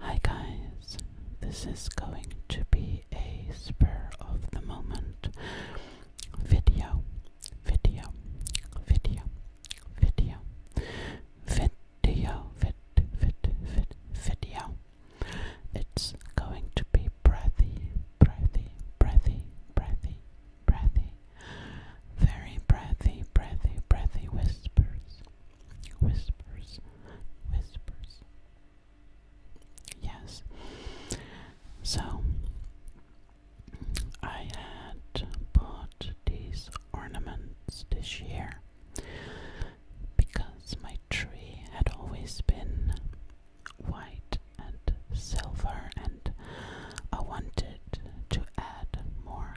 Hi guys, this is going to be a spur of the moment video, video, video, video, video, vid, vid, vid, video. It's going to be breathy, breathy, breathy, breathy, breathy, very breathy, breathy, breathy whispers. Whispers, whispers. Yes. So I had bought these ornaments this year because my tree had always been white and silver, and I wanted to add more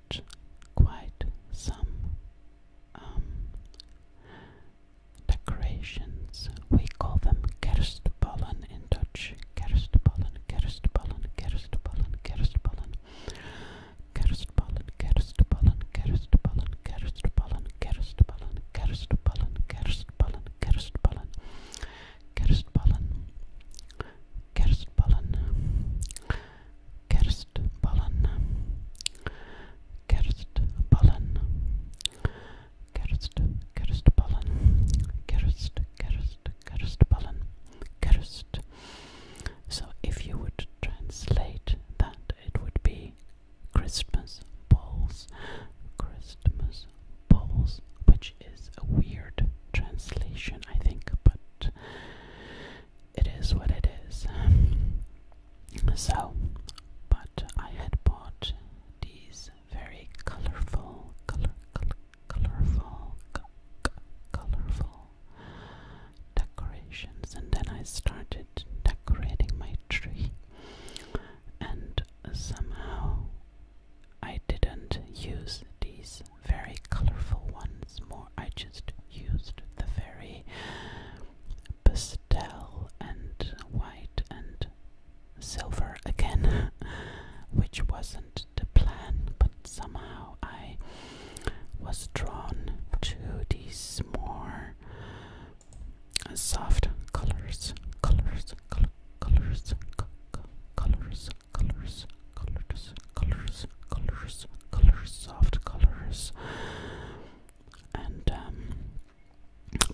quite some um, decorations. We call them kerstballen in Dutch. Kerstballen, kerstballen, kerstballen, kerstballen. Kerstballen, kerstballen, kerstballen, kerstballen, kerstballen, kerstballen, kerstballen, kerstballen. Kerstballen, kerstballen. Kerstballen, kerstballen, kerst, kerstballen, kerst, kerst, kerstballen, kerst. So if you would translate that, it would be Christmas balls, Christmas balls, which is a weird translation, I think, but it is what it is. So, but I had bought these very colorful, colorful, colorful decorations, and then I started decorating my tree, and somehow I didn't use these very colorful ones more. I just used the very pastel and white and silver again, which wasn't the plan, but somehow I was drawn to these more soft colors, colors, colors, colors, colors, colors, colors, colors, colors, soft colors, and um,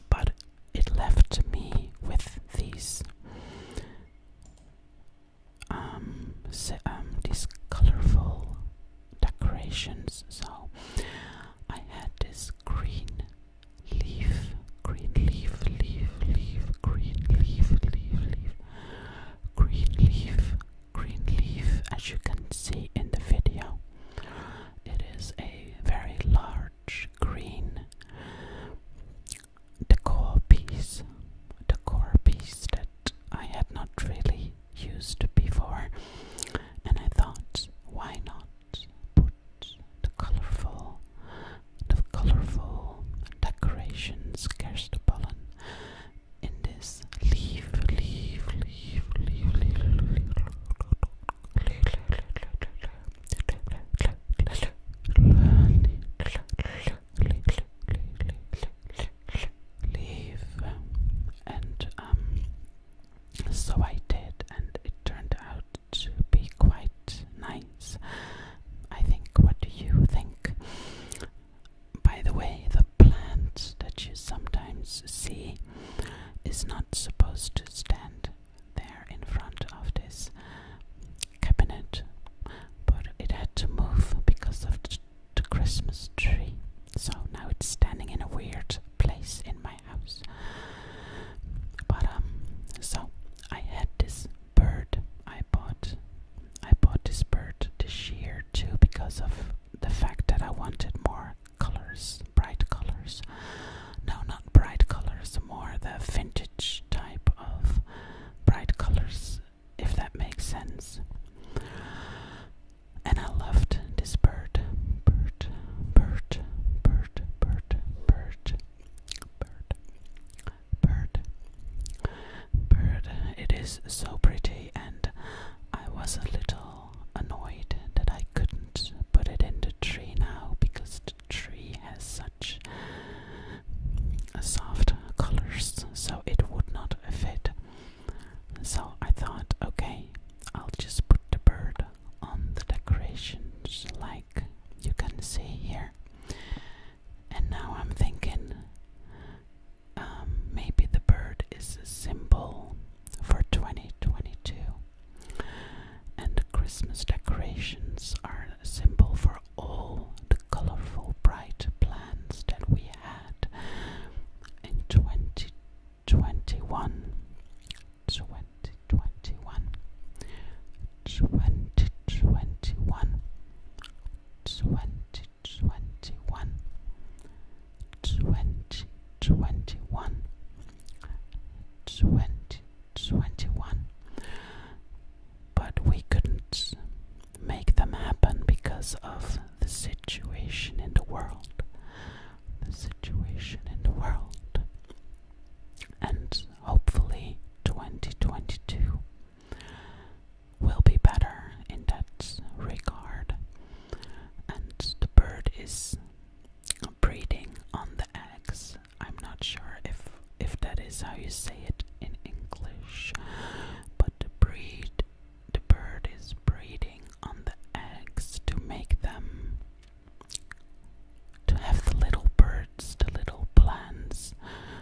but it left me with these um, um these colorful decorations. So I had this green leaf, green leaf, leaf, leaf, green leaf, leaf, leaf, green leaf, green leaf as you can see in the video. It is a very large green decor piece, decor piece that I had not really used before, and I thought, why not put the colorful, the colorful decorations, Kerstopollen in this leaf, leaf, leaf, leaf, leaf, leaf, and um, so I did, and it turned out to be quite nice. I think. What do you think? by the way, the plant that you sometimes see is not supposed to stand there in front of this cabinet, but it had to move because of the, Christmas tree. So now it's standing in a weird place in my house. But um, so I had this bird I bought. I bought this bird this year too because of the fact that I wanted more colors, bright colors. No, not bright colors, more the vintage type of bright colors, if that makes sense. And I loved this bird. Bird, bird, bird, bird, bird, bird. Bird. Bird, it is so pretty, and I was a little annoyed that I couldn't put it in the tree now because the tree has such soft colors, so it would not fit. So I thought, okay, I'll just put the bird on the decorations like you can see here. And now I'm thinking um, maybe the bird is a symbol for 2022. And the Christmas decorations are a symbol for all the colorful, bright plans that we had in 2021. 2021. 2021 twenty twenty one twenty twenty one twenty twenty one but we couldn't make them happen because of the situation in the world the situation in the world and hopefully 2022 will be better in that regard. And the bird is breeding on the eggs. I'm not sure if if that is how you say it in English, but the breed the bird is breeding on the eggs to make them to have the little birds, the little plans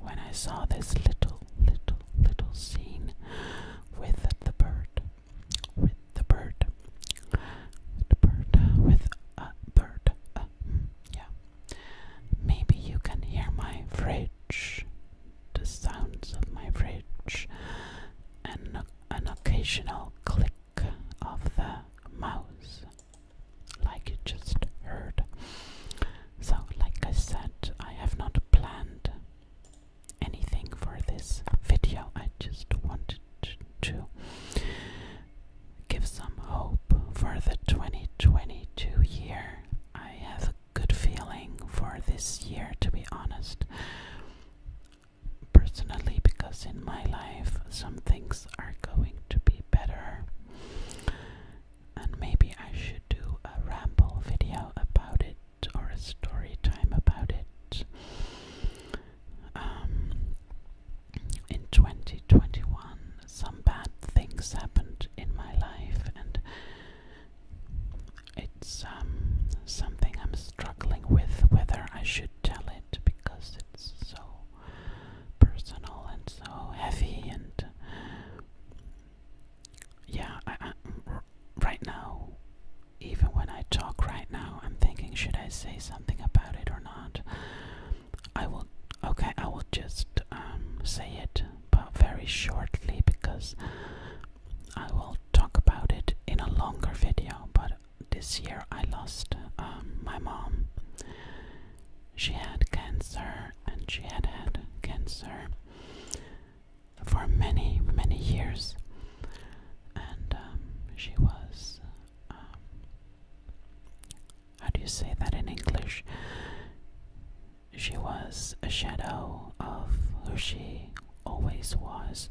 when I saw this little, little, little scene with the bird, with the bird, with the bird, with a bird. Uh, yeah. Maybe you can hear my fridge, the sounds of my fridge, and an occasional click of the mouse, like you just heard. So, like I said, I have not planned anything for this video. I just wanted to give some hope for the 2022 year. I have a good feeling for this year, to be honest. Personally, because in my life some things are going to be better and maybe I should do a ramble video about it or a story time about it. Um, in 2021, some bad things happened in my life, and it's um, something I'm struggling with whether I should tell it because it's so personal and so heavy and yeah, right now, even when I talk right now, I'm thinking should I say something about it or not? I will, okay, I will just um, say it, but very shortly because I will talk about it in a longer video. But this year I lost um, my mom she had cancer and she had had cancer for many, many years. And um, she was, um, how do you say that in English? She was a shadow of who she always was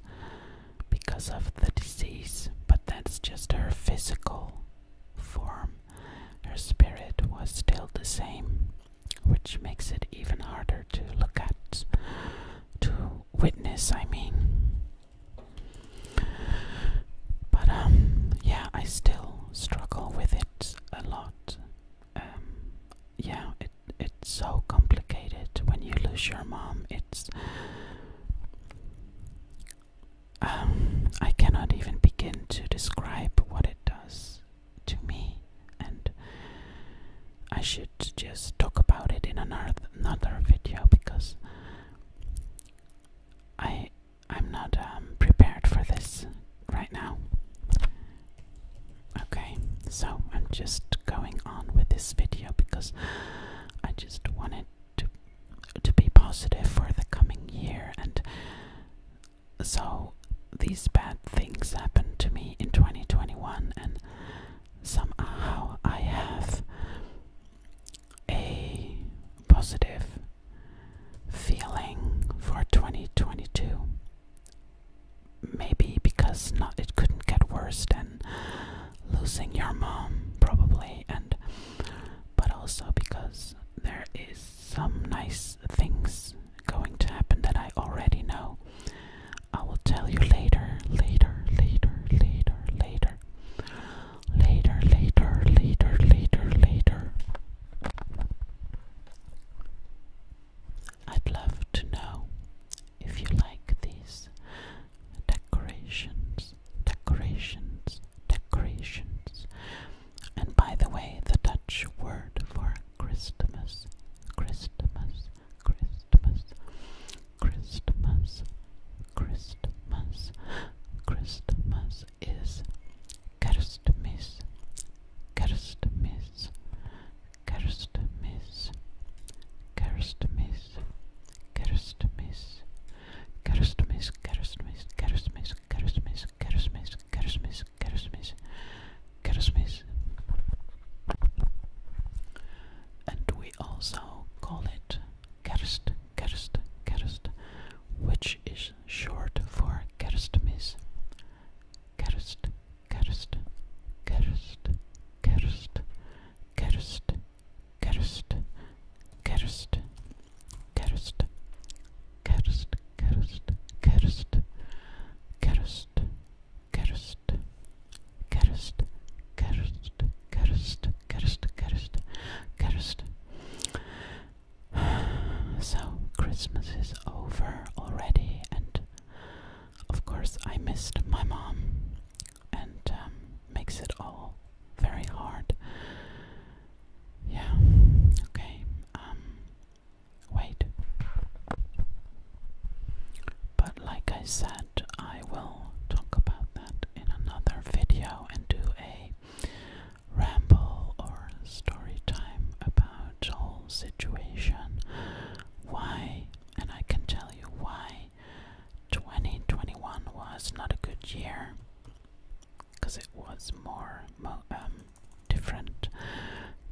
because of the disease, but that's just her physical form her spirit was still the same, which makes it even harder to look at, to witness, I mean. But, um, yeah, I still struggle with it a lot. Um, yeah, it, it's so complicated when you lose your mom. It's um, I cannot even begin to describe what it does to me, and I should just talk about it in another video because I I'm not um, prepared for this right now. Okay, so I'm just going on with this video because I just wanted to to be positive for the coming year and so these bad things happened to me in 2021 and somehow I have a positive feeling for 2022 maybe because not it couldn't get worse than losing your mom probably and but also because there is some nice things going to happen that I already know. I will tell you later, later, later, later, later. Later, later, later, later, later. I'd love to know if you like these decorations decorations, decorations. And by the way, the Dutch word for Christmas, Christmas, Christmas, Christmas, Christmas, Christmas is Kerstmis, Kerstmis, Kerstmis, Kerstmis, Kerstmis, kerstmis, kerstmis, kerstmis, kerstmis, kerstmis, kerstmis, kerstmis, kerstmis. And we also call it kerst, kerst, kerst, which is short for kerstmis. Kerst, kerst, kerst, kerst, kerst, cursed, cursed, cursed, cursed, cursed, cursed, cursed, cursed, cursed, cursed, cursed, cursed, cursed, cursed. So Christmas is over already, and of course I missed my mom, and makes it all very hard. Yeah. Okay. Um wait. But like I said, I will talk about that in another video and do a ramble or story time about whole situation. Why and I can tell you why 2021 was not a good year because it was more um, different,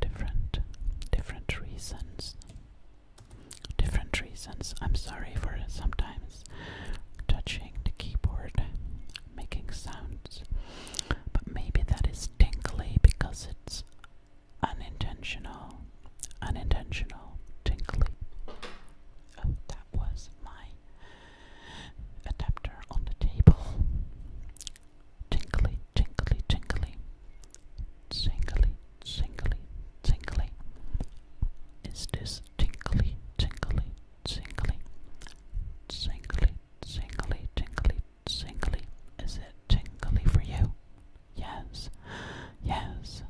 different, different reasons. Different reasons. I'm sorry for sometimes touching the keyboard, making sounds, but maybe that is tinkly because it's unintentional. Unintentional tinkly. Oh, that was my adapter on the table. Tinkly, tinkly, tinkly. Tingly, tingly, tingly. Is this tinkly, tinkly, tinkly? Tingly, tingly, tingly, tingly. Is it tingly for you? Yes. Yes,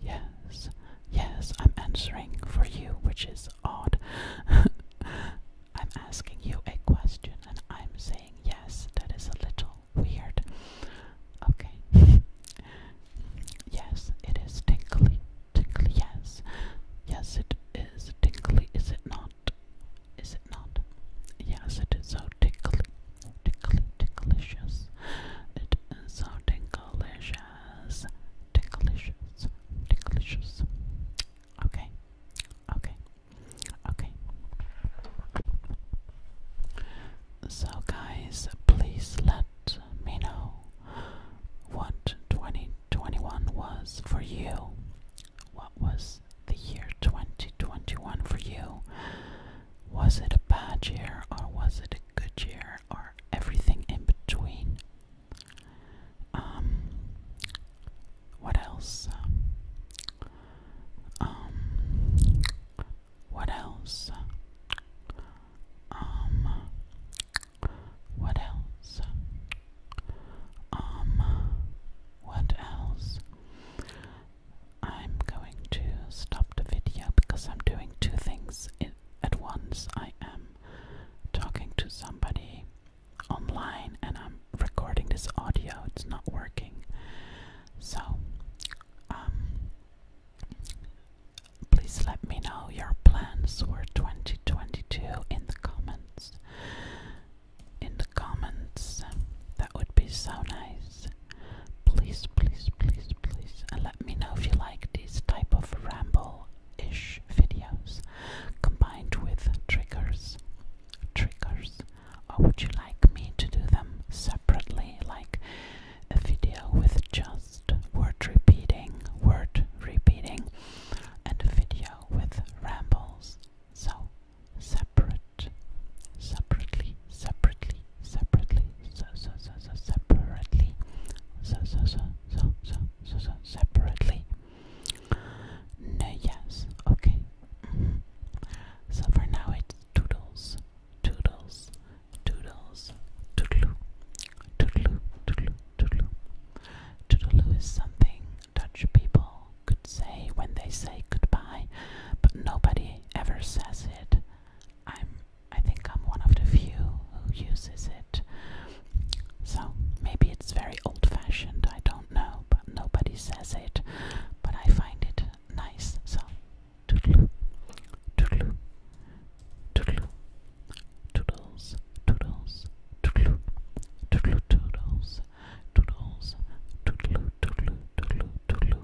yes, yes, I'm answering for you, which is odd. I'm asking you a question and I'm saying yes, that is a little weird. Okay. yes, it is tinkly. Tinkly, yes. Yes, it is tinkly, is it not? Is it not? Yes, it is so tickly, tickly, ticklicious. It is so ticklicious as Tinglicious. Okay. Okay. Okay. So, guys, please let me know what 2021 was for you. What was the year 2021 for you? Was it a bad year or was it a good year? or everything in between. Um, what else? Um, what else? Um, what else? what else? I'm going to stop the video because I'm doing two things at once I am talking to somebody online and I'm recording this audio, it's not working. So, um, please let me know your plans for 2022 in the comments. In the comments, that would be so nice. Please, please, please, please and uh, let me know if you like these type of ramble-ish videos combined with triggers. Triggers. Or would you like me to do them separately, like a video with just word repeating, word repeating, and a video with rambles? So, separate, separately, separately, separately, so so so so separately, so so so so so so so separately. No, yes, okay. Mm-hmm. So for now it's toodles, toodles, toodles, toodaloo, toodaloo, toodaloo, toodaloo. Toodaloo is something Dutch people could say when they say goodbye, but nobody ever says it. I'm I think I'm one of the few who uses it. So maybe it's very old fashioned, I don't know, but nobody says it. But I find it nice. So toodaloo, toodaloo, toodaloo, toodles, toodles, toodaloo, toodaloo, toodles, toodles, toodaloo, toodaloo, toodaloo, toodaloo,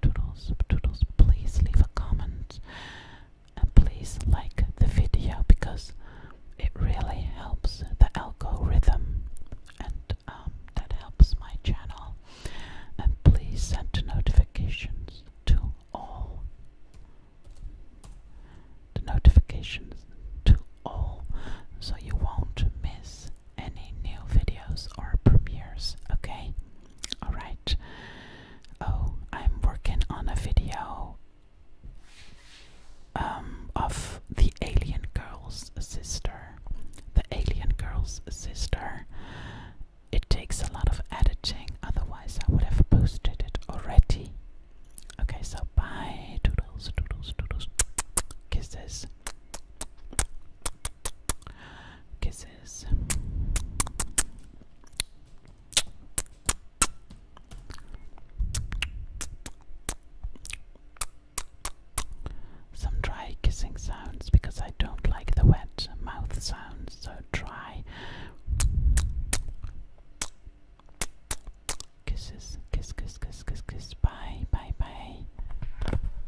Toodles, toodles, please leave a comment and please like the video because it really helps the algorithm and um, that helps my channel. And please send notifications to all. The notifications to all so you won't miss any new videos or premieres, okay? Alright. Oh, I'm working on a video um, of the alien girl's sister. The alien girl's sister. It takes a lot of editing, otherwise, I would have posted it already. Okay, so bye. Doodles, doodles, doodles. Kisses. Kisses. Some dry kissing sounds because I don't like the wet mouth sounds, so dry kisses, kiss, kiss, kiss, kiss, kiss, bye, bye, bye.